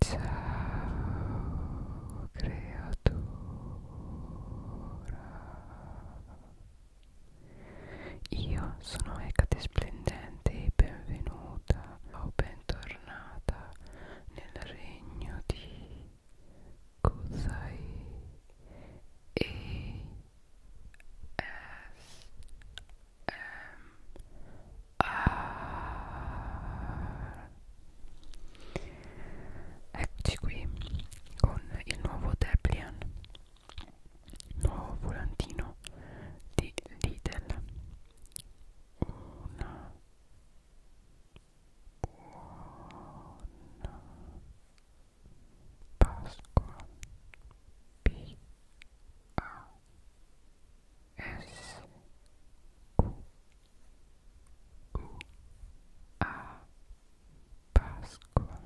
Ciao creatura Io sono Ecate Splendente e benvenuta o bentornata nel regno di Kusai e S M Ah. Eccoci qui con il nuovo Deplian, nuovo volantino di Lidl. Una buona Pasqua. P A S Q U A Pasqua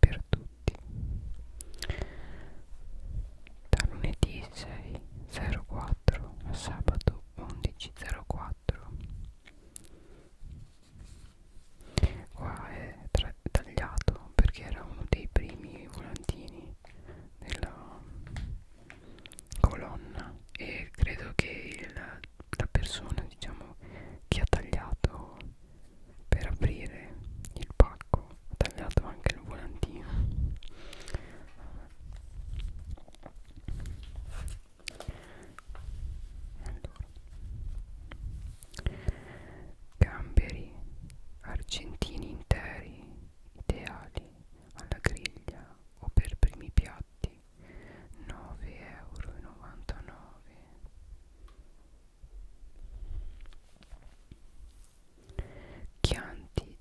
per tutti da lunedì 6.04 a sabato 11.04 qua è tagliato perché era uno dei primi volantini della, colonna e credo che il, la persona diciamo che ha tagliato per aprire il pacco ha tagliato anche il volantino allora. gamberi argentini interi ideali alla griglia o per primi piatti 9,99 euro Chianti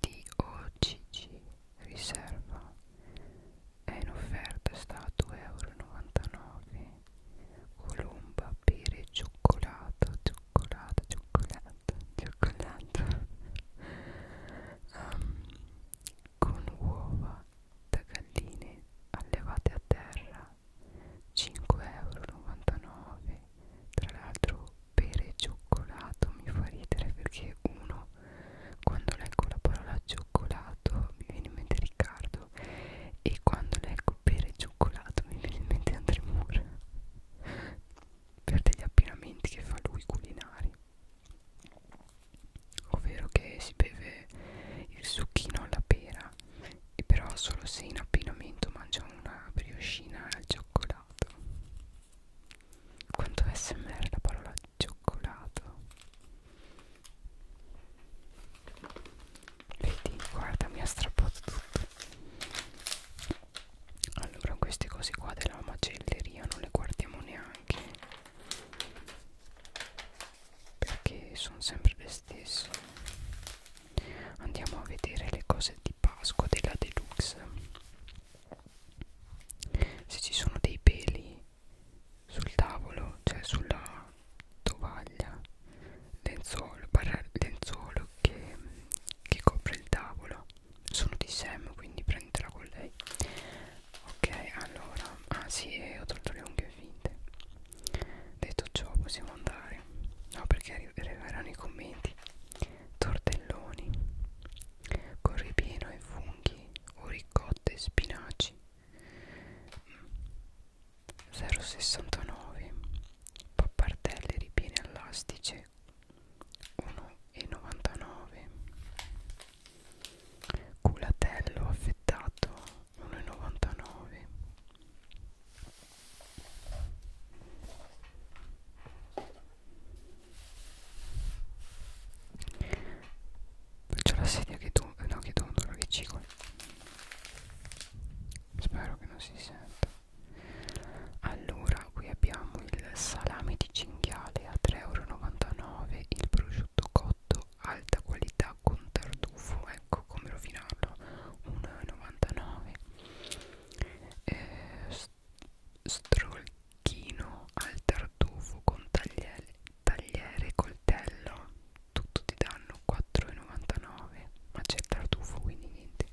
di OCG riserva è in offerta sta a 2,99 euro Colomba pere cioccolato cioccolato cioccolato cioccolato, cioccolato um, ehm, con uova da galline allevate a terra 5,99€ tra l'altro pere e cioccolato mi fa ridere perché uno quando leggo la parola cioccolato mi viene in mente Riccardo e quando leggo pere e cioccolato mi viene in mente Andremur per degli abbinamenti che fa lui culinari ovvero che si beve il succhino alla pera e però solo se in abbinamento mangia una briochina al cioccolato quanto smr la parola cioccolato vedi guarda mi ha strappato tutto allora queste cose qua della macelleria non le guardiamo neanche perché sono sempre le stesse andiamo a vedere le cose di Pasqua della Deluxe se ci sono dei peli sul tavolo cioè sulla tovaglia lenzuolo, lenzuolo che che copre il tavolo sono di Sam quindi prendetela con lei ok allora ah sì eh, ho tolto le unghie finte detto ciò possiamo andare no perché arriveranno i commenti tortelloni con ripieno e funghi o ricotta e spinaci 0,69 mm pappardelle ripiene al l'astice 1,99 culatello affettato 1,99 Faccio la sedia che tu... no che tu non lo Spero che non si senta allora qui abbiamo il salame di cinghiale a 3,99 euro il prosciutto cotto alta qualità con tartufo ecco come rovinarlo 1,99 eh, st strolchino al tartufo con tagliere tagliere coltello tutto ti danno 4,99 ma c'è il tartufo quindi niente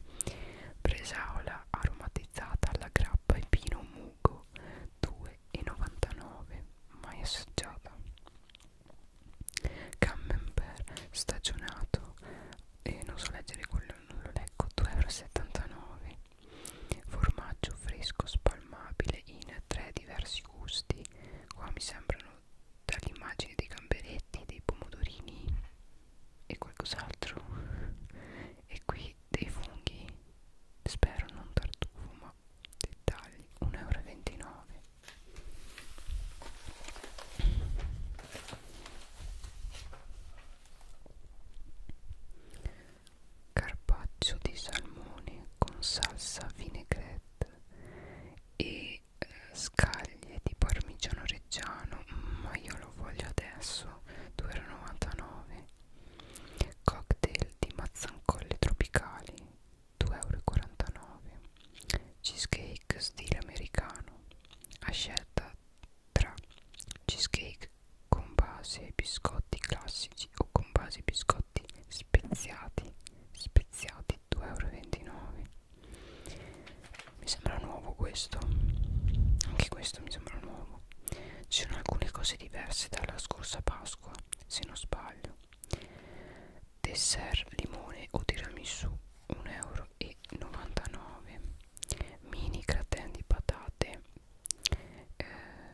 bresaola aromatizzata alla grappa e pino mugo 2,99 mai assaggiata camembert stagionato e eh, non so leggere quello non lo leggo 2,79 formaggio fresco spalmabile in tre diversi gusti qua mi sembrano dall'immagine dei gamberetti dei pomodorini e qualcos'altro e qui dei funghi spero non tartufo ma dettagli 1,29 euro carpaccio di salmone con salsa vinaigrette e eh, scaglie di parmigiano reggiano ma io lo voglio adesso 2,99 cocktail di mazzancolle tropicali 2,49 cheesecake stile americano a scelta tra cheesecake con base ai biscotti classici o con base ai biscotti speziati speziati 2,29 euro mi sembra nuovo questo anche questo mi sembra nuovo ci sono alcune cose diverse dalla scorsa Pasqua se non sbaglio dessert limone o tiramisù 1,99 euro mini gratin di patate eh,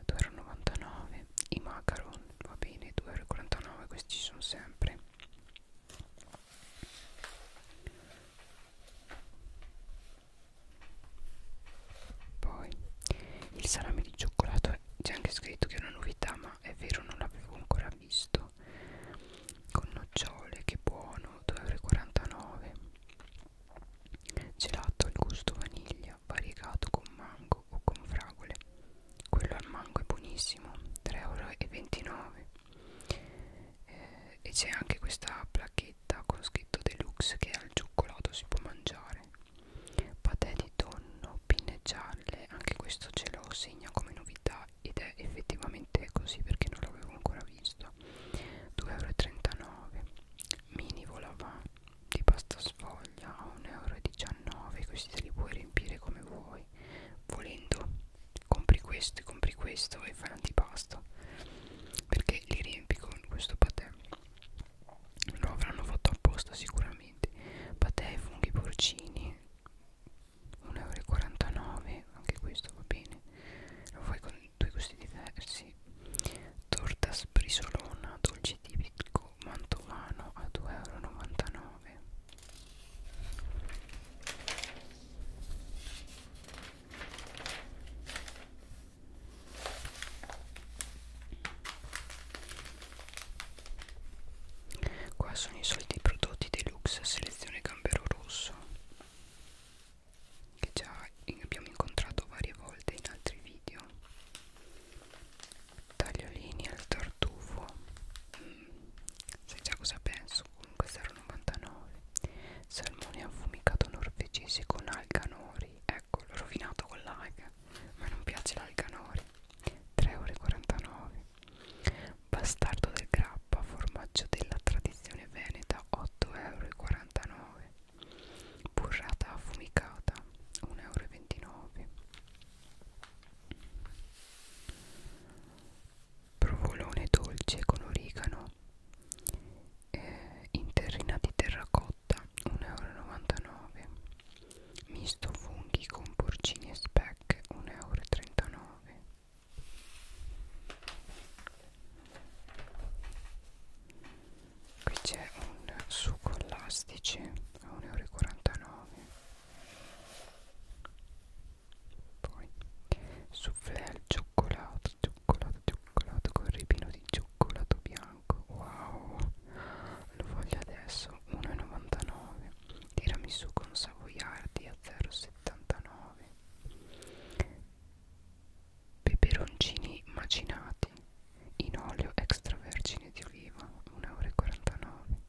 2,99 euro i macaron va bene 2,49 euro questi ci sono sempre poi il salame di cioccolato c'è anche scritto che è una novità, ma è vero, non l'avevo ancora visto. Con nocciole, che buono, 2,49 euro. Gelato al gusto vaniglia, variegato con mango o con fragole. Quello al mango è buonissimo, 3,29 euro eh, e c'è anche questa placchetta con scritto deluxe che al cioccolato si può mangiare patè di tonno pinne gialle anche questo ce lo segna come novità ed è effettivamente così perché non l'avevo ancora visto 2,39 euro mini volava di pasta sfoglia a 1,19 euro questi se li puoi riempire come vuoi volendo compri questo e compri questo e fai l'antipasto perché li riempi con questo patè lo avranno fatto apposta sicuramente patè, funghi, porcini 1,49 euro anche questo va bene lo fai con due gusti diversi torta sbrisolona dolce tipico mantovano a 2,99 euro Qua sono i soliti prodotti deluxe selezione gambero rosso che già abbiamo incontrato varie volte in altri video tagliolini al tartufo mm, sai già cosa penso comunque 0,99 salmone affumicato norvegese con alganori ecco l'ho rovinato con l'alga ma non piace l'alganori 3,49 bastardo del grappa formaggio della tradizione veneta 8,49 burrata affumicata 1,29 euro provolone dolce con origano eh, in terrina di terracotta 1,99 euro misto funghi con porcini e speck 1,39 euro qui c'è un succo elastice a 1,49 euro poi soufflé al cioccolato cioccolato cioccolato con ripino di cioccolato bianco wow lo voglio adesso 1,99 tiramisù con savoiardi a 0,79 peperoncini macinati in olio extravergine di oliva 1,49 euro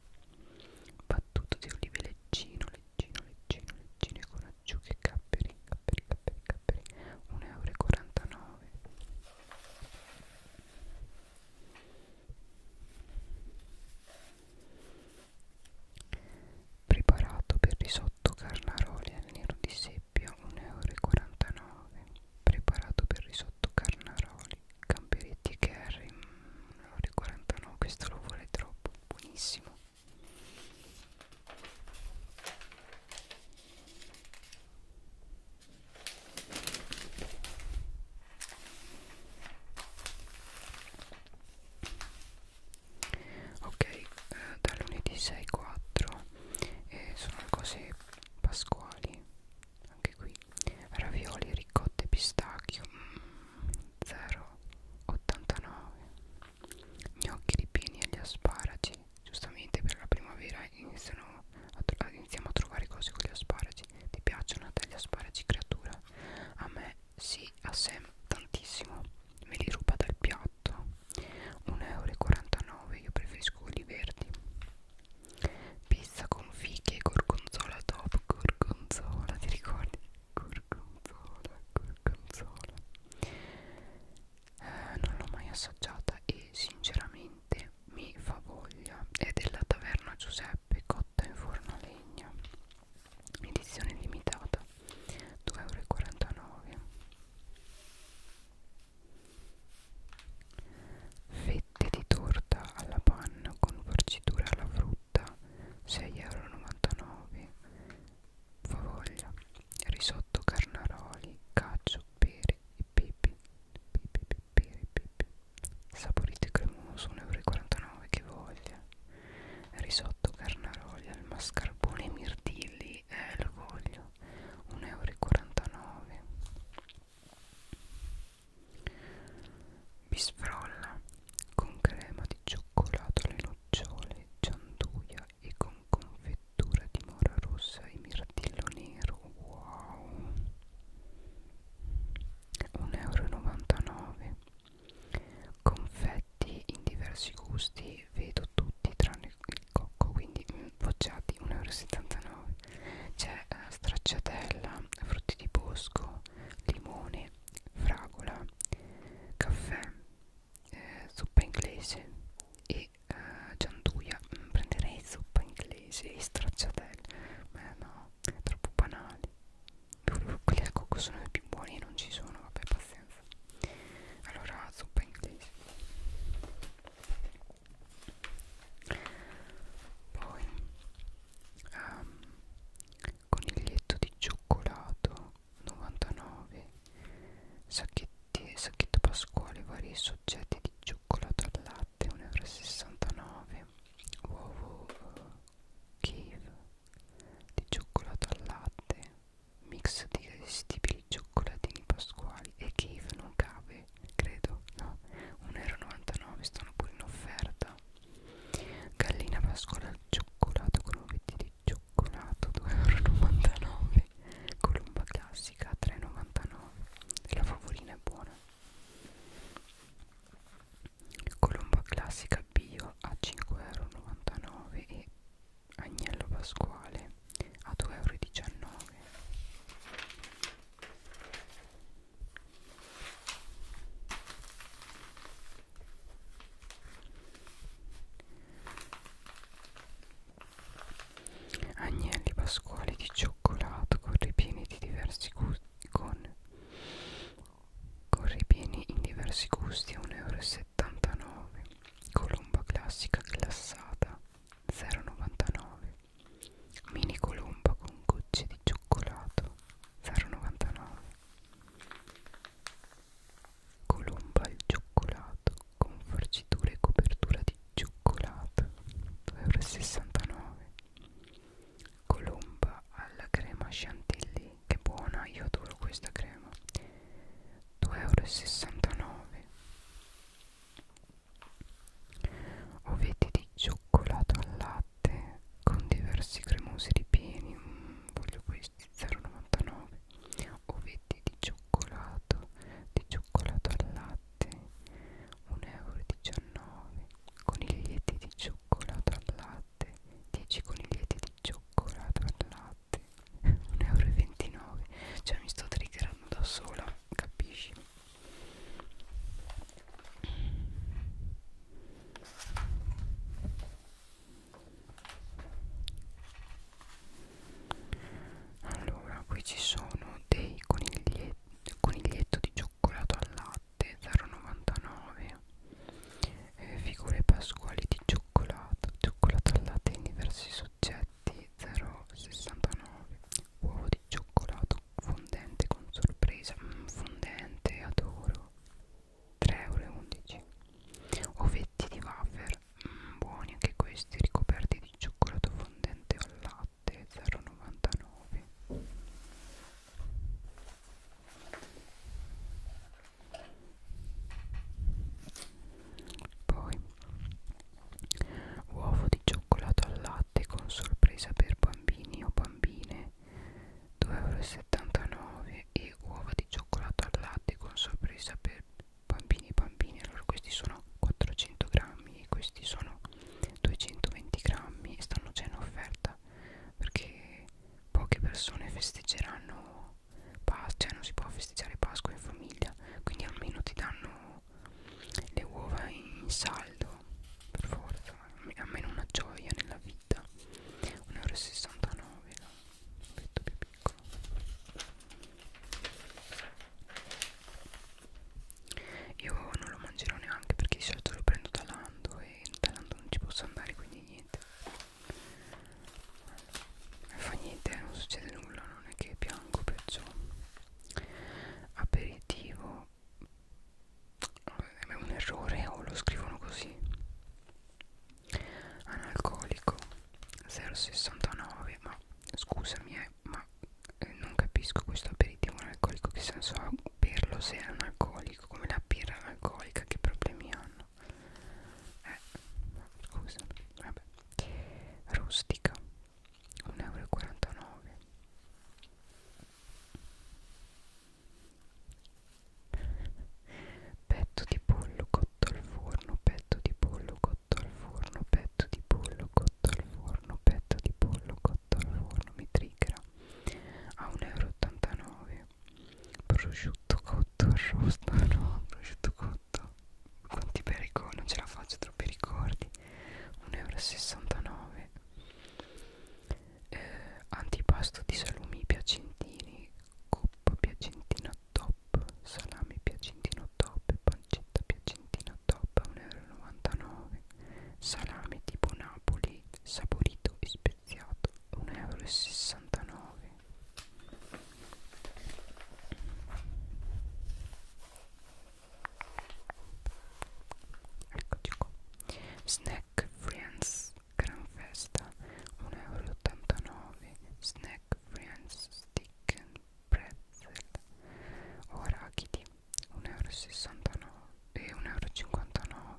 battuto di olive leggino leggino, leggino, leggino e con acciughe e capperi, capperi, capperi, capperi 1,49 euro Preparato per risotto carnaroli al nero di seppia 1,49 euro Preparato per risotto carnaroli, gamberetti e curry 1,49 questo lo vuole troppo buonissimo ok eh, da lunedì 6-4 eh, sono le cose pasquali anche qui ravioli ricotte pistacchio mm 0,89 gnocchi di pini e gli asparagi giustamente per la primavera iniziano a iniziamo a trovare cose con gli asparagi ti piacciono a te gli asparagi creatura? a me sì, a Sam tantissimo me li ruba dal piatto 1,49€ io preferisco quelli verdi pizza con fiche e gorgonzola top gorgonzola ti ricordi? gorgonzola, gorgonzola eh, non l'ho mai assaggiata e sinceramente mi fa voglia è della taverna Giuseppe cotta in forno a legna edizione limitata 2,49 fette di torta alla panna con farcitura alla frutta frutta 6,99€ favoglia risotto carnaroli cacio pere e pepe pepe pere pepe saporito e cremoso 1,49€ che voglia risotto carnaroli al mascarpone e mirtilli eh lo voglio 1,49€ Bisfrolla con crema di cioccolato alle nocciole, gianduia e con confettura di mora rossa e mirtillo nero. Wow! 1,99€ Confetti in diversi gusti, vedo tutti tranne il cocco, quindi poggiati mm, 1,79€. C'è eh, stracciatella, frutti di bosco, limone, fragola, caffè, eh, zuppa inglese e eh, gianduia. Mm, prenderei zuppa inglese e stracciatelle, ma no, troppo banali. Quelli al cocco sono i più buoni e non ci sono, vabbè, pazienza. Allora, zuppa inglese. Poi um, coniglietto di cioccolato 99 sacchetti, sacchetto pasquale vari soggetti di cioccolato al latte 1,69 euro uovo uh, cave di cioccolato al latte mix di irresistibili cioccolatini pasquali e cave non cave credo no 1,99 euro stanno pure in offerta gallina pascola al cioccolato con ovetti di cioccolato 2,99 euro colomba classica 3,99 la favorina è buona colomba classica bio a 5,99 euro e agnello pasquale a 2,19 euro agnelli pasquali di cioccolato con ripieni di diversi gusti con, con ripieni in diversi gusti a 1,79 euro colomba classica glassata 0,99 mini colomba con gocce di cioccolato 0,99 Colomba il cioccolato con farcitura e copertura di cioccolato 2,69 euro Colomba alla crema chantilly che buona, io adoro questa crema 2,69 euro Ovetti di cioccolato al latte con diversi cremosi ripieni mm, voglio questi 0,99 ovetti di cioccolato di cioccolato al latte 1,19 euro coniglietti di cioccolato al latte 10 coniglietti di cioccolato al latte 1,29 euro cioè mi sto triggerando da sola capisci allora qui ci sono dei coniglietti coniglietto di cioccolato al latte 0,99 eh, figure pasquali di cioccolato cioccolato al latte in diversi soggetti 0,69 uovo di cioccolato fondente con sorpresa mm, fondente adoro 3,11 euro ovetti di wafer mm, buoni anche questi ricoperti di cioccolato fondente al latte 0,99 poi uovo di cioccolato al latte con sorpresa per bambini o bambine 2,79€ e uova di cioccolato al latte con sorpresa per bambini e bambini allora questi sono 400 grammi e questi sono 220 grammi e stanno già in offerta perché poche persone festeggeranno Pasqua cioè non si può festeggiare Pasqua in famiglia quindi almeno ti danno le uova in saldo per forza almeno una gioia nella vita 1,69 euro un petto più piccolo io non lo mangerò neanche perché di solito lo prendo da Lando e da Lando non ci posso andare quindi niente non fa niente non succede nulla non è che piango perciò aperitivo è un errore o lo scrivono così analcolico 0,69 ma scusami eh, ma eh, non capisco questo aperitivo analcolico che senso ha berlo se è analcolico come la birra analcolica che problemi hanno eh scusa vabbè rustica 1,49 euro petto di pollo cotto al forno petto di pollo cotto al forno petto di pollo cotto al forno petto di pollo cotto al forno mi triggera a 1,89 euro prosciutto cotto arrosto no prosciutto cotto quanti per ricordi non ce la faccio troppi ricordi 1,69 euro eh, antipasto di salumi piacentini, coppa piacentina top, salami piacentino top, pancetta piacentina top a 1,99 euro, salame tipo Napoli saporito e speziato 1,69 euro. Eccoci qua. Snack Snack Friends Gran Festa 1,89 euro Snack Friends Stick and Pretzel o Arachidi 1,69 e 1,59 eh, euro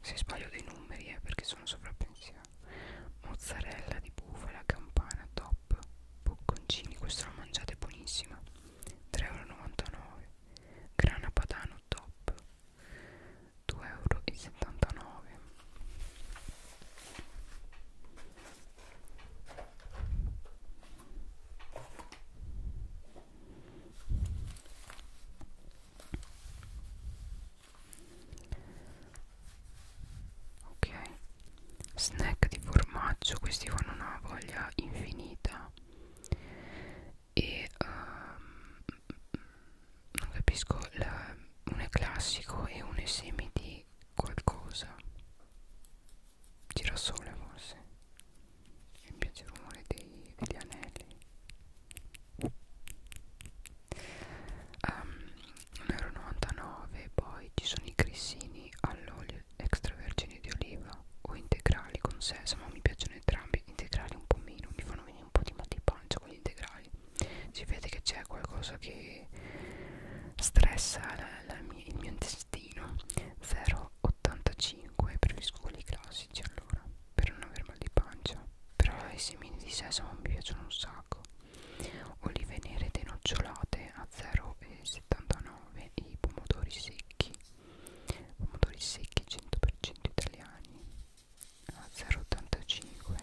se sbaglio dei numeri è eh, perché sono sovrappensiero mozzarella di bufala campana top bocconcini questa la mangiate buonissima 3,99 euro grana padano top 2,79 euro ok snack di formaggio questi fanno una voglia infinita e um, non capisco la, uno è classico e uno è semi di qualcosa girasole forse mi piace il rumore dei, degli anelli um, ehm, 1,99€ poi ci sono i grissini all'olio extravergine di oliva o integrali con sesamo mi piacciono entrambi cambi integrali un po' meno mi fanno venire un po' di mal di pancia con gli integrali si vede che c'è qualcosa che stressa la, la mia, il mio intestino 0,85 preferisco quelli classici allora per non aver mal di pancia però i semini di sesamo mi piacciono un sacco olive nere denocciolate a 0,79 e i pomodori secchi pomodori secchi 100% italiani ah, a 0,85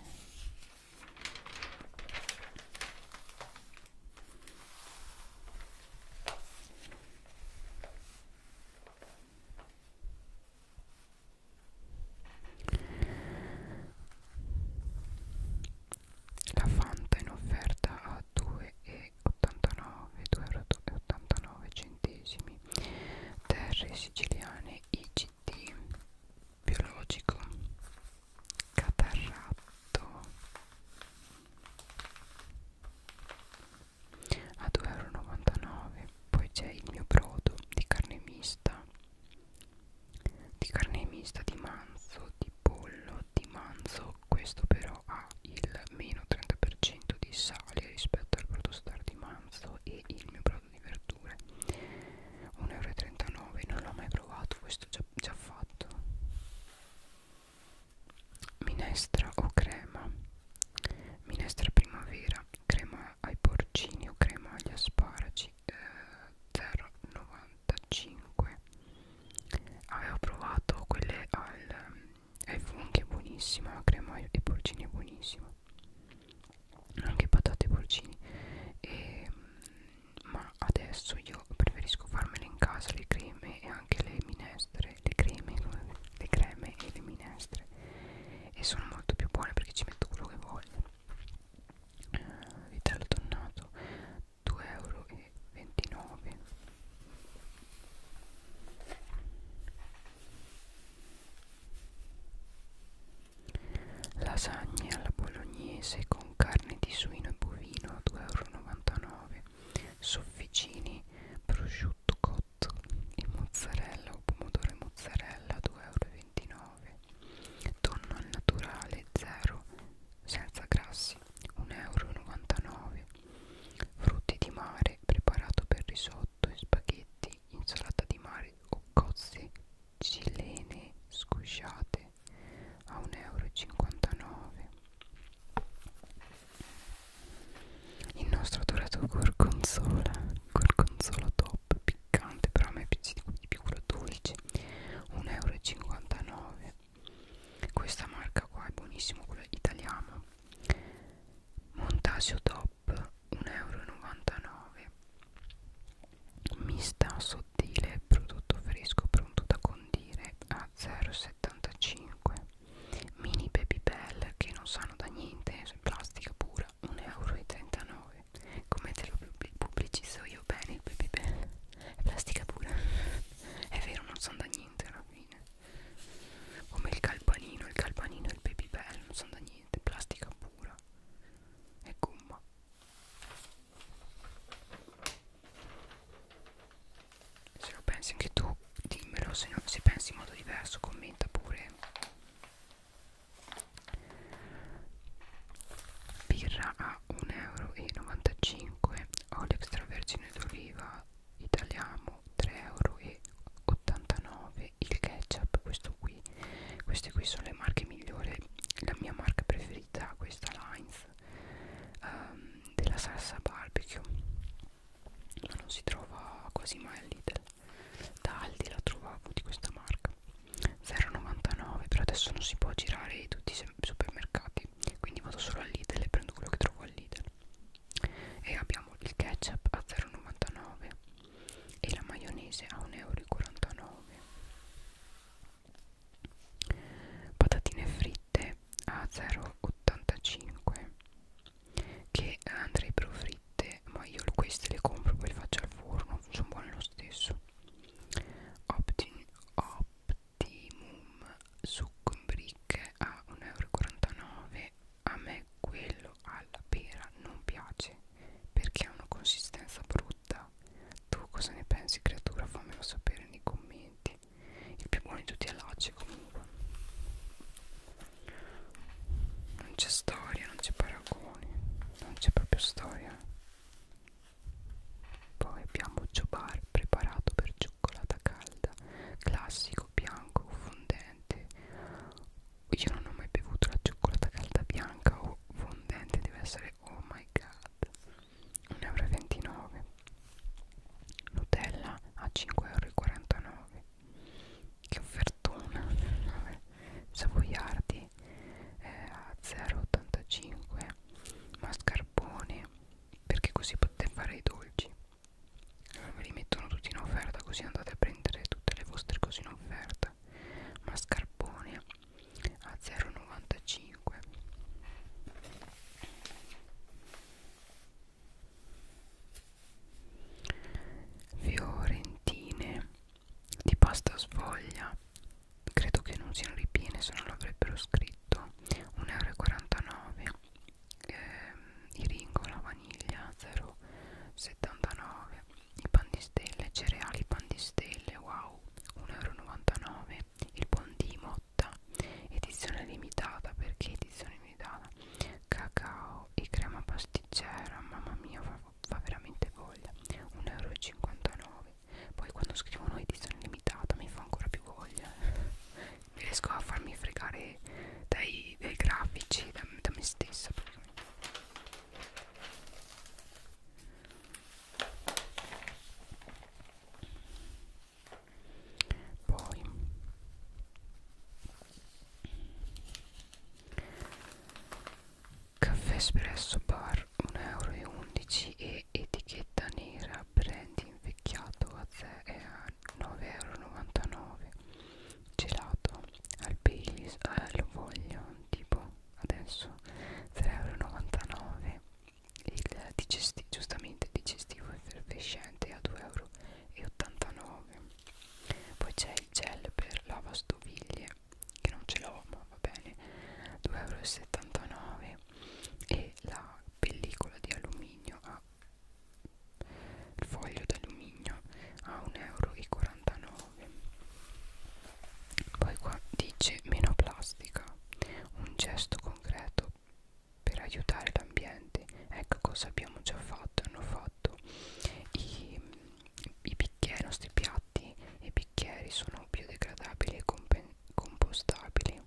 la Fanta in offerta a 2,49 centesimi terre siciliane IGT biologico catarratto a 2,99 euro poi c'è il mio brodo di carne mista di carne mista di manzo di pollo di manzo questo però ha il meno 30% di sale rispetto al brodo star di manzo e il mio brodo di verdure 1,39 euro non l'ho mai provato questo già, già fatto minestra o crema minestra primavera crema ai porcini o crema agli asparagi eh, 0,95 avevo provato quelle al è anche buonissima la crema e porcini è buonissima anche patate e porcini e, ehm, ma adesso io preferisco farmele in casa le creme e anche le minestre le creme, le creme e le minestre e sono molto più buone perché ci metto quello che voglio eh, vitello tonnato 2,29 euro Lasagne alla bolognese con carne di suino e bovino a 2,99 euro. Sofficini, prosciutto cotto e mozzarella o pomodoro e mozzarella a 2,29 euro. Tonno al naturale zero senza grassi 1,99 euro frutti di mare preparato per risotto in spaghetti, insalata di mare o cozze cilene scusciate a 1,59 euro. Il nostro dorato gorgonzola, gorgonzola top, piccante, però a me piace di più quello dolce, 1,59 euro. Questa marca qua è buonissimo, quella italiana montasio top 1,99 euro mista sottile prodotto fresco pronto da condire a 0,75 mini baby bell che non sanno da niente plastica pura 1,39 euro come te lo pubblicizzo io bene il baby bell è plastica pura è vero non sanno da niente alla fine come il calpanino il calpanino e il baby bell non sono da niente plastica pura e gomma se lo pensi anche tu dimmelo se, non, se pensi in modo diverso commenta pure birra a 1,95 euro olio extravergine d'oliva italiamo 3,89 euro il ketchup questo qui queste qui sono le marche migliori la mia marca preferita questa Lines um, della salsa barbecue ma non si trova quasi mai al Lidl da Aldi la trovavo di questa marca 0,99 però adesso non si può girare tutti i supermercati quindi vado solo al Lidl e prendo quello che trovo al Lidl e abbiamo il ketchup a 0,99 e la maionese a 1,49 euro patatine fritte a 0,85 che andrebbero fritte ma io queste le compro poi le faccio al forno sono buone lo stesso Optin Optimum succo in bricche a 1,49 euro a me quello alla pera non piace perché ha una consistenza brutta tu cosa ne pensi creatura fammelo sapere nei commenti il più buono di tutti è l'acce comunque non c'è storia non c'è paragone non c'è proprio storia poi abbiamo Jobar preparato per cioccolata calda classico, bianco o fondente io non ho mai bevuto la cioccolata calda bianca o fondente deve essere oh my god 1,29 euro Nutella a 5,49 euro che offertona savoiardi eh, a 0,85 mascarpone perché così potete fare i dolci ve li mettono tutti in offerta così andate a prendere tutte le vostre cose in offerta mascarpone a 0,95 fiorentine di pasta sfoglia credo che non siano ripiene se non l'avrebbero scritto 1,49 euro ehm, i ringo alla vaniglia 0,79 i pandistelle cereali pandistelle wow 1,99 il bondi motta edizione limitata perché edizione limitata cacao e crema pasticcera mamma mia fa, fa veramente voglia 1,59 euro poi quando scrivono edizione limitata mi fa ancora più voglia riesco a farmi fregare dai, dai grafici, da, da me stessa praticamente. Poi Caffè espresso bar 1,11 euro e etichetta nera brand invecchiato a, a 9,99€ gelato al Baileys eh, lo voglio tipo adesso 3,99€ il digestivo giustamente digestivo effervescente a 2,89€ poi c'è il gel per lavastoviglie che non ce l'ho ma va bene 2,79€ e la pellicola di alluminio a il foglio d'alluminio a 1,49 euro poi qua dice meno plastica un gesto concreto per aiutare l'ambiente ecco cosa abbiamo già fatto hanno fatto i, i bicchieri, i nostri piatti e i bicchieri sono biodegradabili e compostabili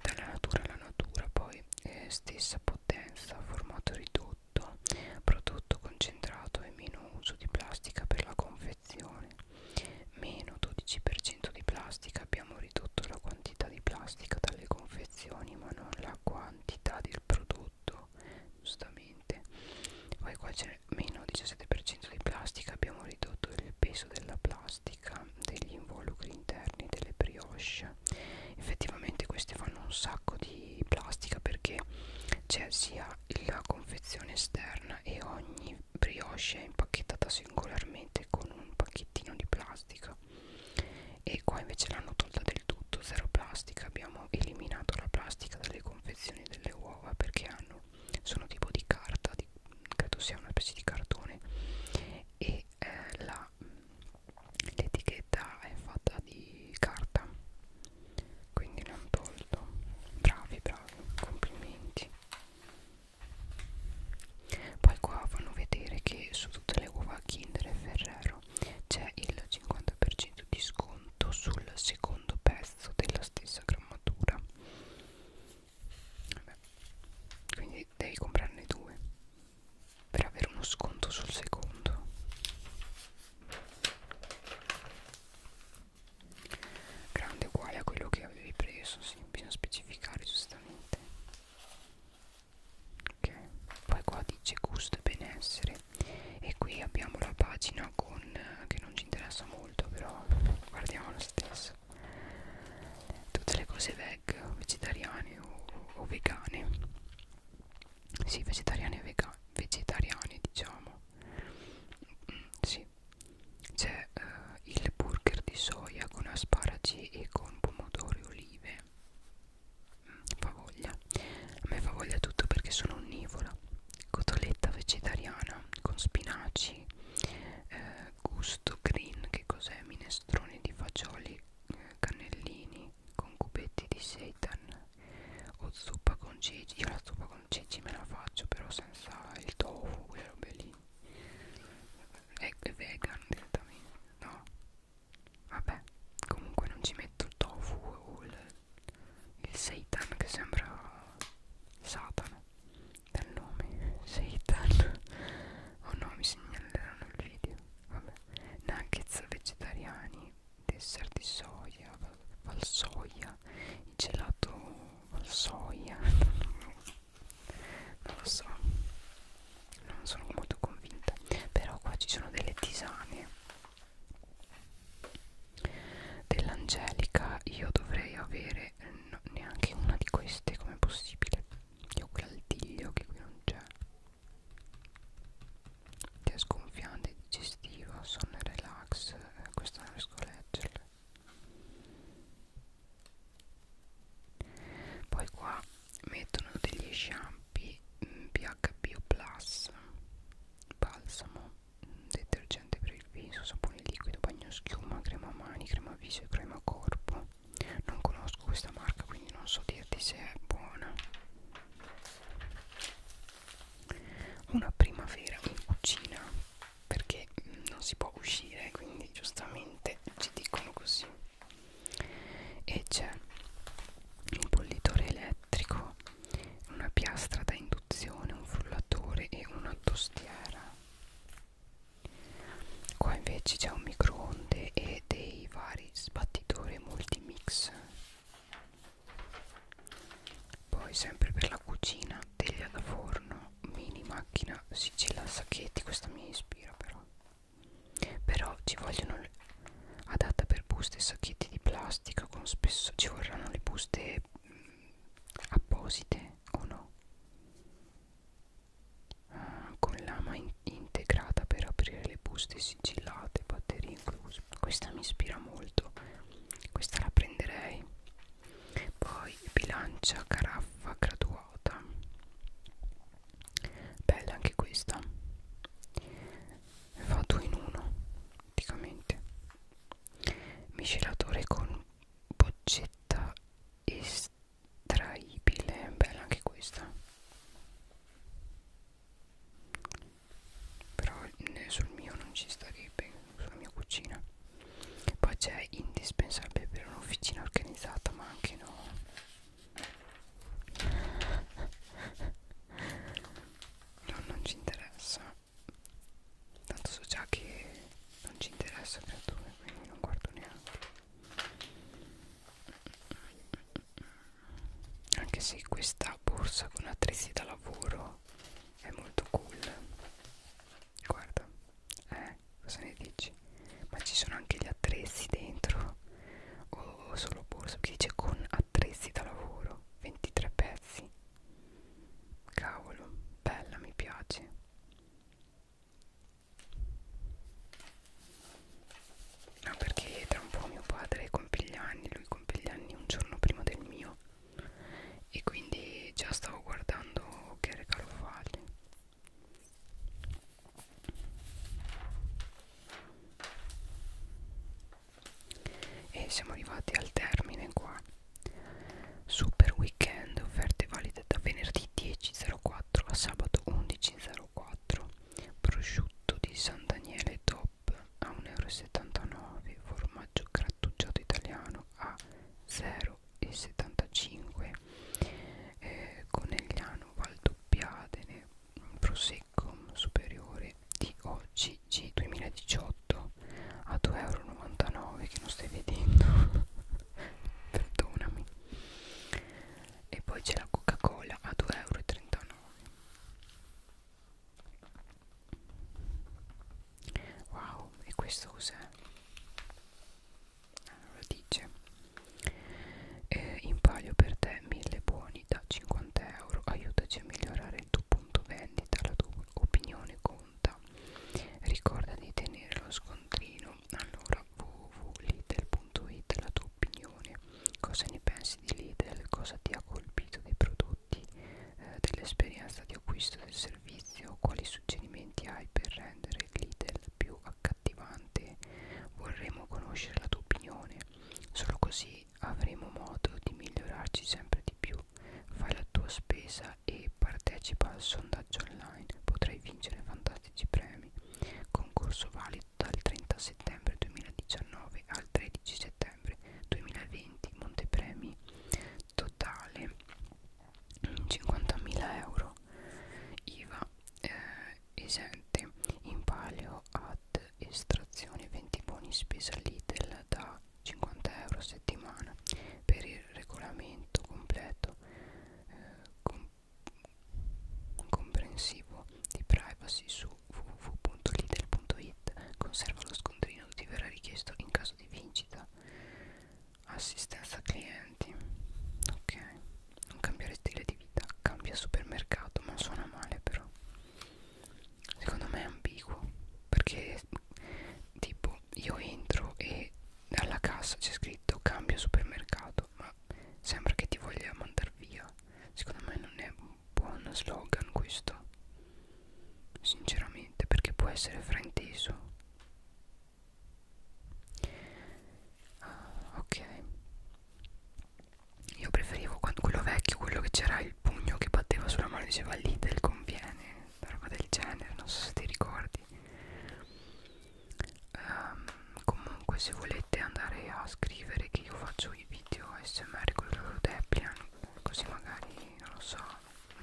dalla natura alla natura poi eh, stessa potenza formato ridotto prodotto concentrato e meno uso di plastica per la confezione meno 12% di plastica abbiamo ridotto la quantità di plastica dalle confezioni ma non la quantità del prodotto giustamente poi qua c'è meno 17% di plastica abbiamo ridotto il peso della plastica degli involucri interni delle brioche effettivamente questi fanno un sacco di plastica perché c'è sia la confezione esterna e ogni brioche è impacchettata singolarmente con un pacchettino di plastica e qua invece l'hanno tolta del tutto zero plastica abbiamo eliminato la plastica dalle confezioni delle uova perché hanno sono tipo di carta di, credo sia una specie di cartone e eh, la l'etichetta l'etichetta è fatta di carta quindi l'hanno tolto bravi bravi complimenti poi qua fanno vedere che su tutte le uova Kinder e Ferrero c'è il 50% di sconto sul secondo pezzo della stessa grammatura Vabbè. quindi devi comprarne due per avere uno sconto sul secondo grande uguale a quello che avevi preso sì, bisogna specificare giustamente ok poi qua dice gusto e benessere e qui abbiamo la pagina con eh, che non ci interessa molto però guardiamo lo stesso House tutte le cose veg vegetariane o, o vegane sì vegetariane e vega, vegetariane diciamo mm, sì c'è uh, il burger di soia con asparagi e con pomodori e olive mm, fa voglia a me fa voglia tutto perché sono onnivora cotoletta vegetariana con spinaci eh, gusto green che cos'è? Minestrone di fagioli eh, cannellini con cubetti di seitan o zuppa con ceci io la zuppa con ceci me la faccio però senza il tofu quelle robe lì è vegan direttamente no vabbè comunque non ci metto il tofu o il, il seitan che sembra satana dal nome seitan Oh no, mi segnaleranno il video. Vabbè. Nuggets vegetariani, dessert di soia, valsoia, il gelato valsoia. non lo so, non sono molto convinta. Però qua ci sono delle tisane. Dell'Angelica io dovrei avere no, neanche una di queste, come possibile? Io quell'altiglio che qui non c'è Che è sconfiante, digestivo, sonno e relax eh, Questo non riesco a leggerlo Poi qua mettono degli shampoo mm, PHBO Plus Balsamo, mm, detergente per il viso, sapone liquido, bagno schiuma, crema mani, crema viso e crema corpo non conosco questa marca quindi non so dirti se è buona una primavera in cucina perché non si può uscire quindi giustamente ci dicono così e c'è un bollitore elettrico una piastra da induzione un frullatore e una tostiera qua invece c'è un microonde e dei vari sbattitori multimix poi sempre per la cucina teglia da forno mini macchina sigilla sacchetti questa mi ispira però però ci vogliono adatta per buste e sacchetti di plastica con spesso ci vorranno le buste mh, mm, apposite o no uh, con lama in integrata per aprire le buste sigillate, batterie incluse. Questa mi ispira molto, questa la prenderei. Poi bilancia caraffa graduata, bella anche questa. Fa due in uno, praticamente. Miscelatore con boccetta estraibile bella anche questa però sul mio non ci starebbe sulla mia cucina poi c'è indispensabile per un'officina organizzata ma anche no no non ci interessa tanto so già che non ci interessa creature quindi non guardo neanche anche se questa borsa con attrezzi da lavoro è molto cool guarda eh cosa ne dici ma ci sono anche gli attrezzi dentro o oh, solo borsa che dice con attrezzi da lavoro 23 pezzi cavolo bella mi piace No, perché tra un po' mio padre compie gli anni, lui compie gli anni un giorno prima del mio e quindi già stavo guardando che regalo fargli. E siamo arrivati al termine qua. Super weekend, offerte valide da venerdì 10.04 4 a sabato 11.04 prosciutto di San Daniele Top a 1,79 euro formaggio grattugiato italiano a 0,75 eh, conegliano valdoppiadene prosecco superiore di OCG 2018 a 2,99 euro che non stai vedendo perdonami e poi c'è la coca cola a 2,39 euro wow e questo cos'è? Allora ah, dice eh, in palio per te mille buoni da 50 euro aiutaci a migliorare il tuo punto vendita la tua opinione conta ricorda di tenere lo scontrino allora pagina www.lidl.it la tua opinione cosa ne pensi di Lidl cosa ti ha colpito dei prodotti eh, dell'esperienza di acquisto del servizio quali suggerimenti hai per rendere Lidl più accattivante vorremmo conoscere la tua opinione solo così avremo modo di migliorarci sempre di più fai la tua spesa e partecipa al sondaggio online potrai vincere fantastici premi concorso valido dal 30 settembre 2019 al 13 settembre 2020 montepremi totale 50.000 euro IVA eh, esente in palio ad estrazione 20 buoni spesa Lidl da 50 euro a settimana per il regolamento completo eh, com comprensivo di privacy su www.lidl.it conserva lo scontrino che ti verrà richiesto in caso di vincita assistenza clienti ok non cambiare stile di vita cambia supermercato ma suona male però secondo me è ambiguo perché tipo io entro e alla cassa c'è scritto cambio supermercato ma sembra che ti voglia mandar via secondo me non è un buon slogan questo sinceramente perché può essere frainteso ah, ok io preferivo quando quello vecchio quello che c'era il pugno che batteva sulla mano e diceva Lidl conviene una roba del genere non so se ti ricordi um, comunque se volete andare a scrivere che io faccio i video smr con loro deplian così magari non lo so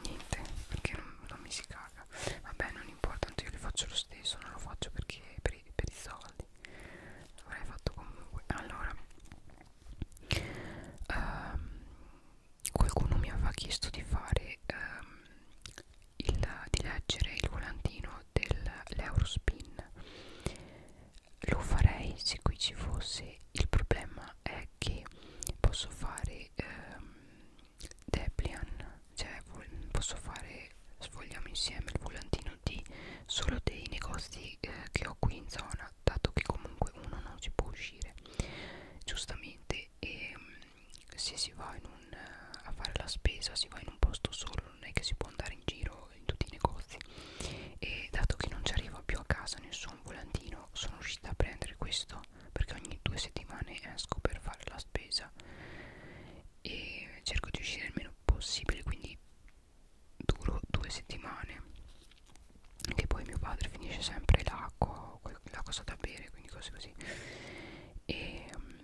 niente perché non, non mi si caga vabbè non importa tanto io li faccio lo stesso non lo faccio perché per i, per i soldi l'avrei fatto comunque allora um, qualcuno mi aveva chiesto di fare um, il, di leggere il volantino dell'Eurospin lo farei se qui ci fosse il problema è che posso fare ehm, Deplian cioè posso fare sfogliamo insieme il volantino di solo dei negozi eh, che ho qui in zona dato che comunque uno non si può uscire giustamente e ehm, se si va un, eh, a fare la spesa si va in un posto solo non è che si può andare in giro in tutti i negozi e dato che non ci arriva più a casa nessun volantino sono riuscita a prendere questo perché ogni due settimane esco per fare la spesa e cerco di uscire il meno possibile quindi duro due settimane che poi mio padre finisce sempre l'acqua, la cosa da bere, quindi cose così e, mm,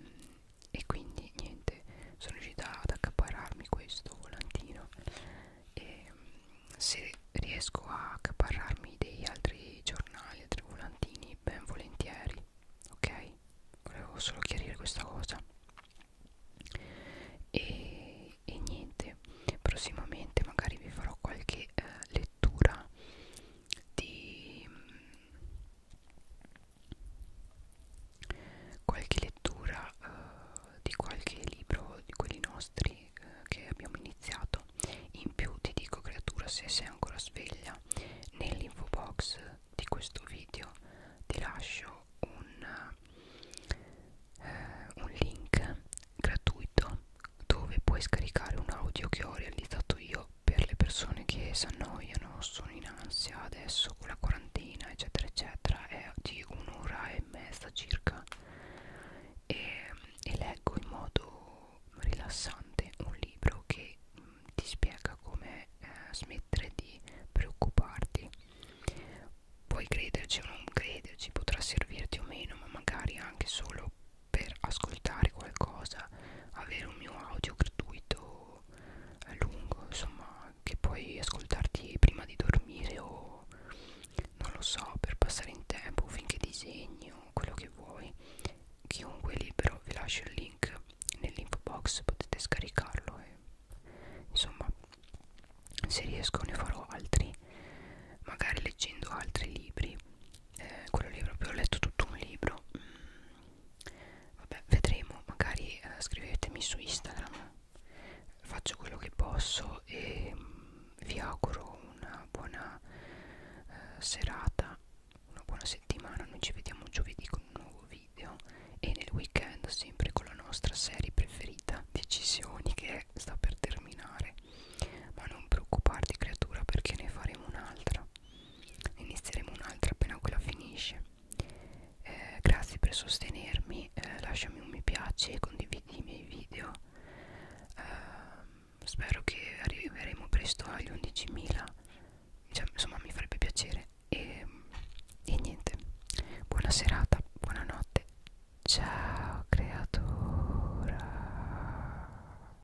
e quindi niente sono riuscita ad accaparrarmi questo volantino e mm, se riesco a accaparrarmi degli altri giornali altri volantini ben volentieri ok volevo solo chiarire questa cosa e, e niente prossimamente magari vi farò qualche eh, lettura di mm, qualche lettura eh, di qualche libro di quelli nostri eh, che abbiamo iniziato in più ti dico creatura se sei ancora sveglia nell'info box di questo video ti lascio un, eh, un link gratuito dove puoi scaricare un audio che ho realizzato io per le persone che si annoiano, sono in ansia adesso con la quarantina, eccetera, eccetera, è di un'ora e mezza circa e, e leggo in modo rilassante un libro che mh, mm, ti spiega come eh, smettere di preoccuparti. Puoi crederci o non crederci, potrà servirti o meno, ma magari anche solo per ascoltare qualcosa avere un mio audio gratuito eh, lungo insomma che puoi ascoltarti prima di dormire o non lo so per passare in tempo finché disegno quello che vuoi chiunque è libero vi lascio il link nell'info box potete scaricarlo e insomma se riesco ne farò altri magari leggendo altri libri eh, quello lì proprio ho letto tutto un libro mm, vabbè vedremo magari eh, scrivetemi su Instagram faccio quello che posso e mm, vi auguro una buona eh, serata una buona settimana noi ci vediamo giovedì con un nuovo video e nel weekend sempre con la nostra serie preferita decisioni che sta per terminare ma non preoccuparti creatura perché ne faremo un'altra ne inizieremo un'altra appena quella finisce eh, grazie per sostenermi eh, lasciami un mi piace e condividi i miei video eh, spero che arriveremo presto agli 11.000 cioè, insomma mi farebbe piacere e, ehm, e niente buona serata buonanotte ciao creatura